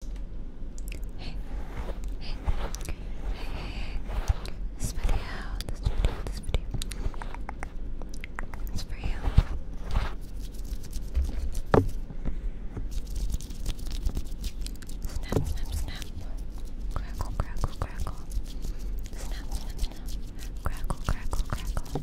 Hey, hey, hey, hey, this video, this video, this video is for you. Snap, snap, snap. Crackle, crackle, crackle. Snap, snap, snap. Crackle, crackle, crackle.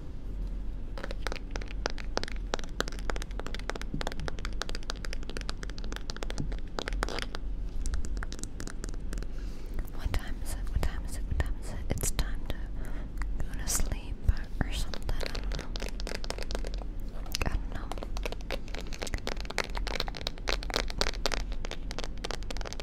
What time is it? What time is it? What time is it? It's time to go to sleep or, something. I don't know.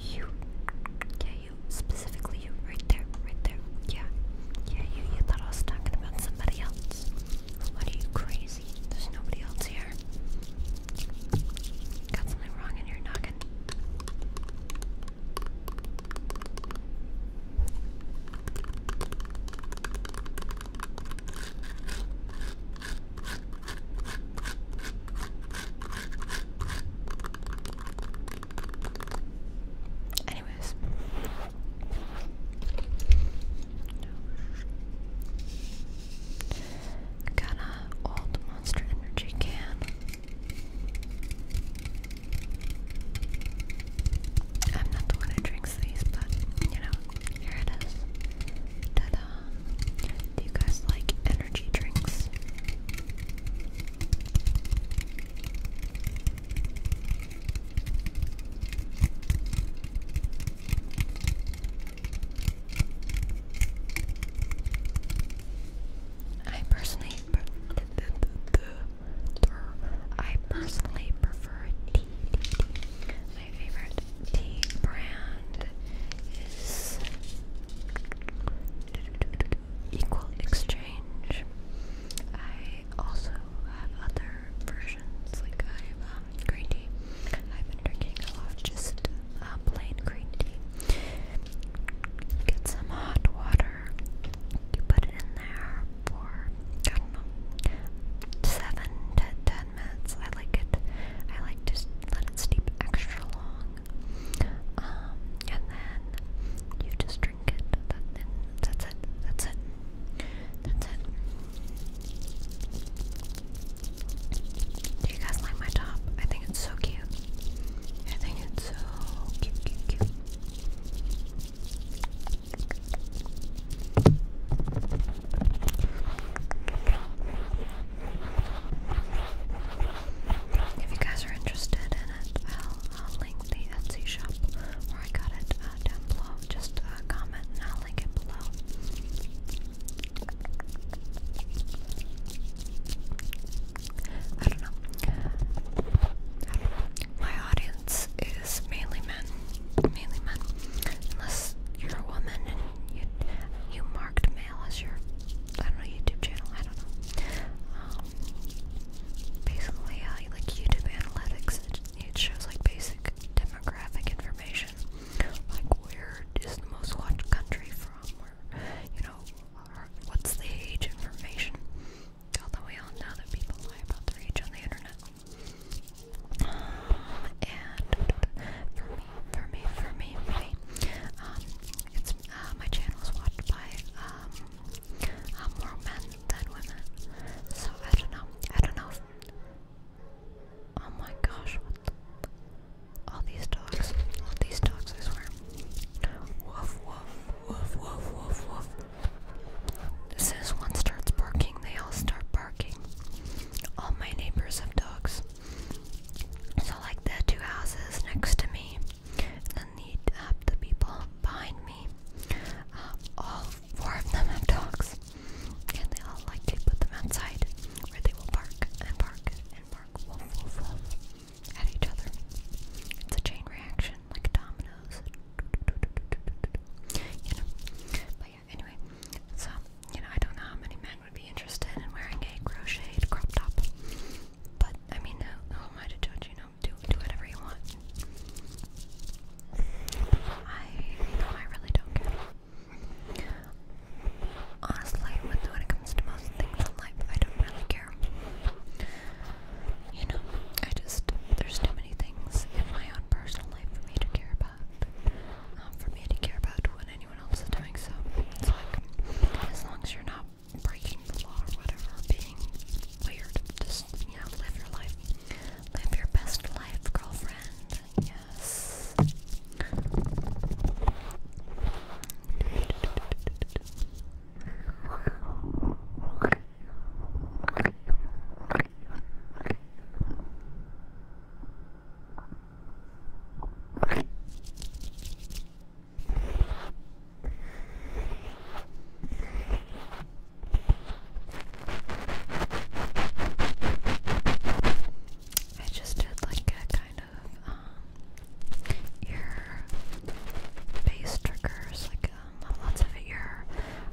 you. Yeah, you. Specifically you. Right there. Right there. Yeah. Yeah, you. You thought I was talking about somebody else. What are you crazy? There's nobody else here. Got something wrong in your noggin. Anyways. Got an old monster energy can. I'm not the one who drinks these, but you know, here it do you guys like energy drinks? I personally, I personally prefer my favorite tea brand is Equal Exchange. I also have other versions, like I have um, green tea. I've been drinking a lot, just uh, plain green tea. Get some hot water. You put it in there for I don't know seven to, to I like it. I like to let it steep extra long. Um, and then you just drink it. and that's it. That's it. That's it. Do you guys like my top? I think it's so cute. I think it's so cute, cute, cute. If you guys are interested in it, I'll link the Etsy shop where I got it uh, down below. Just uh, comment and I'll link it below. I don't know. My audience is mainly men. Mainly men. Unless you're a woman you, you marked mail as your, I don't know, YouTube channel. I don't know. Um, basically, uh, like YouTube analytics, it, it shows like basic demographic information, like where is the most watched country from, or you know, or what's the age information. Although we all know that people lie about their age on the internet and for me, for me, for me, for me, um, it's uh, my channel is watched by um, uh, more men than women. So I don't know. I don't know. oh my gosh! What all these dogs. All these dogs. I swear. Woof woof woof woof woof woof. As soon as one starts barking, they all start barking barking. All my neighbors have dogs. So, like the two houses next to me, and then the, uh, the people behind me, uh, all four of them have dogs. And they all like to put them outside where they will bark and bark and bark wolf, wolf, wolf at each other. It's a chain reaction, like dominoes. You know, but anyway, so you know, I don't know how many men would be interested in wearing a crocheted crop top, but I mean, who, who am I You know, do do whatever you want. I no, I really don't care. Honestly, when it comes to most things in life, I don't really care. You know, I just there's too many things in my own personal in life for me to care about, not um, for me to care about what anyone else is doing. So it's like, as long as you're not breaking the law or whatever, being weird, just yeah, live your life, live your best life, girlfriend. Yes. I just did like a kind of um ear base triggers, like um, lots of ear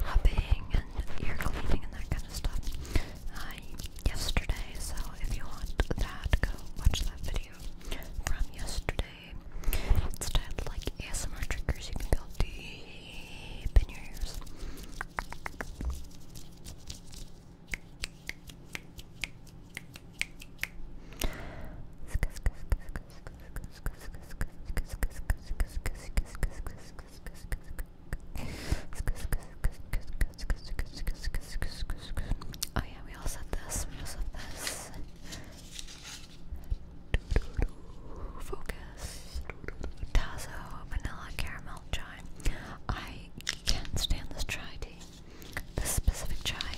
rubbing and ear cleaning and that kind of stuff yesterday. So if you want that, go watch that video from yesterday. Instead, like ASMR triggers, you can go deep in your ears. Oh yeah, we all said this. We all said this. Focus. Tazo, vanilla caramel chai. I can't stand this chai tea. This specific chai.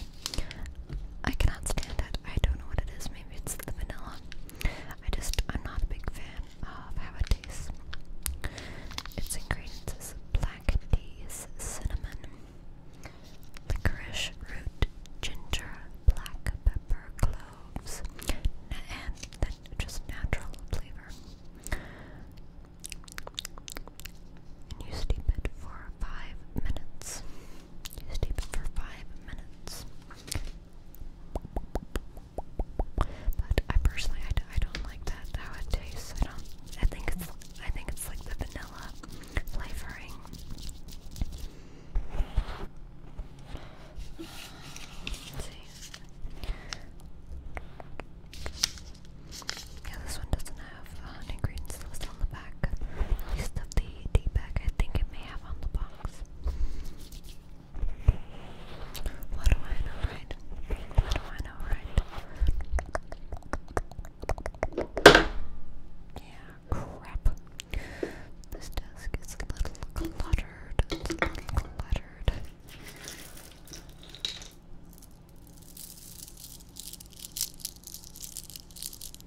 I cannot stand it. I don't know what it is. Maybe it's the vanilla. I just, I'm not a big fan of how it tastes. Its ingredients is black teas, cinnamon, licorice root, ginger, black pepper, cloves, and then just natural flavor. And you steep it for five minutes. Steep it for five minutes. But I personally, I, I don't like that how it tastes. I don't. I think it's. I think it's like the vanilla flavoring. see. Yeah, this one doesn't have uh, an ingredients list on the back. At the D bag, I think it may have on the box. What do I know, right? What do I know, right? Yeah, crap. This desk is a little cluttered. It's a little cluttered.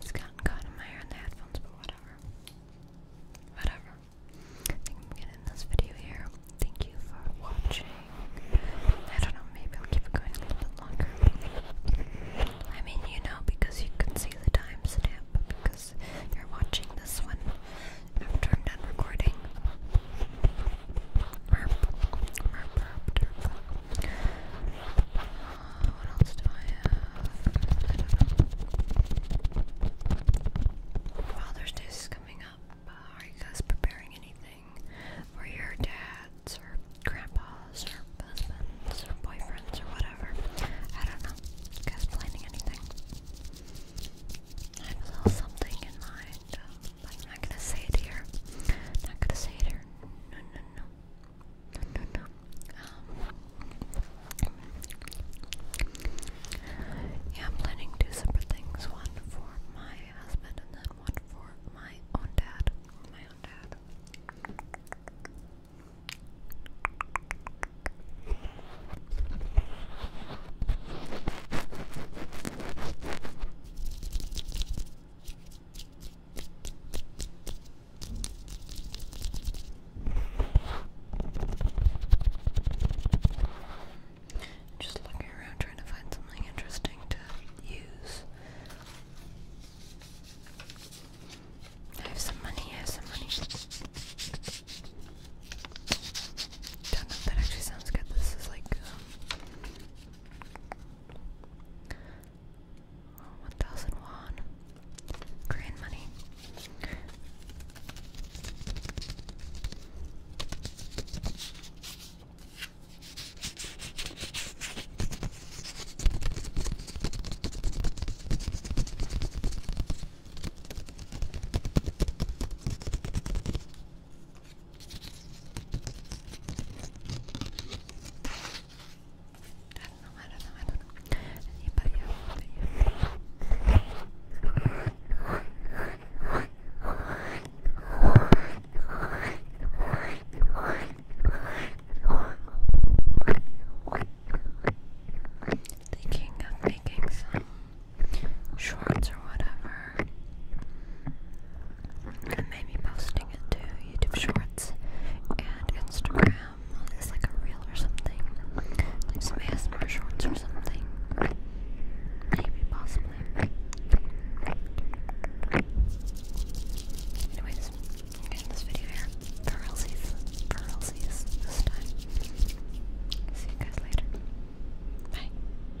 It's gotten caught my ear in the headphones, but whatever. Whatever. I think I'm getting this video here. Thank you for watching. I don't know, maybe I'll keep it going a little longer. I mean, you know, because you can see the timestamp because you're watching this one after I'm done recording. I don't know. Father's Day is coming up. Uh, are you guys preparing anything for your dads or grandpas or husbands or boyfriends or whatever? I don't know. guys planning anything? I have a little something in mind. I'm not gonna say it here. not gonna say it here. No, no, no. No, no, Um, yeah, I'm planning two separate things. One for my husband and then one for my own dad. My own dad. Just looking around trying to find something interesting to use. I have some money, I have some money. Don't know if that actually sounds good. This is like um, one thousand one. Korean money don't know, I don't know, I don't know. Anybody else? Thinking of making some shorts or whatever and maybe posting it to YouTube Shorts and Instagram as like a reel or something, like some ASMR Shorts or something, maybe possibly. Anyways, I'm getting this video here for realsies, this time. See you guys later. Bye.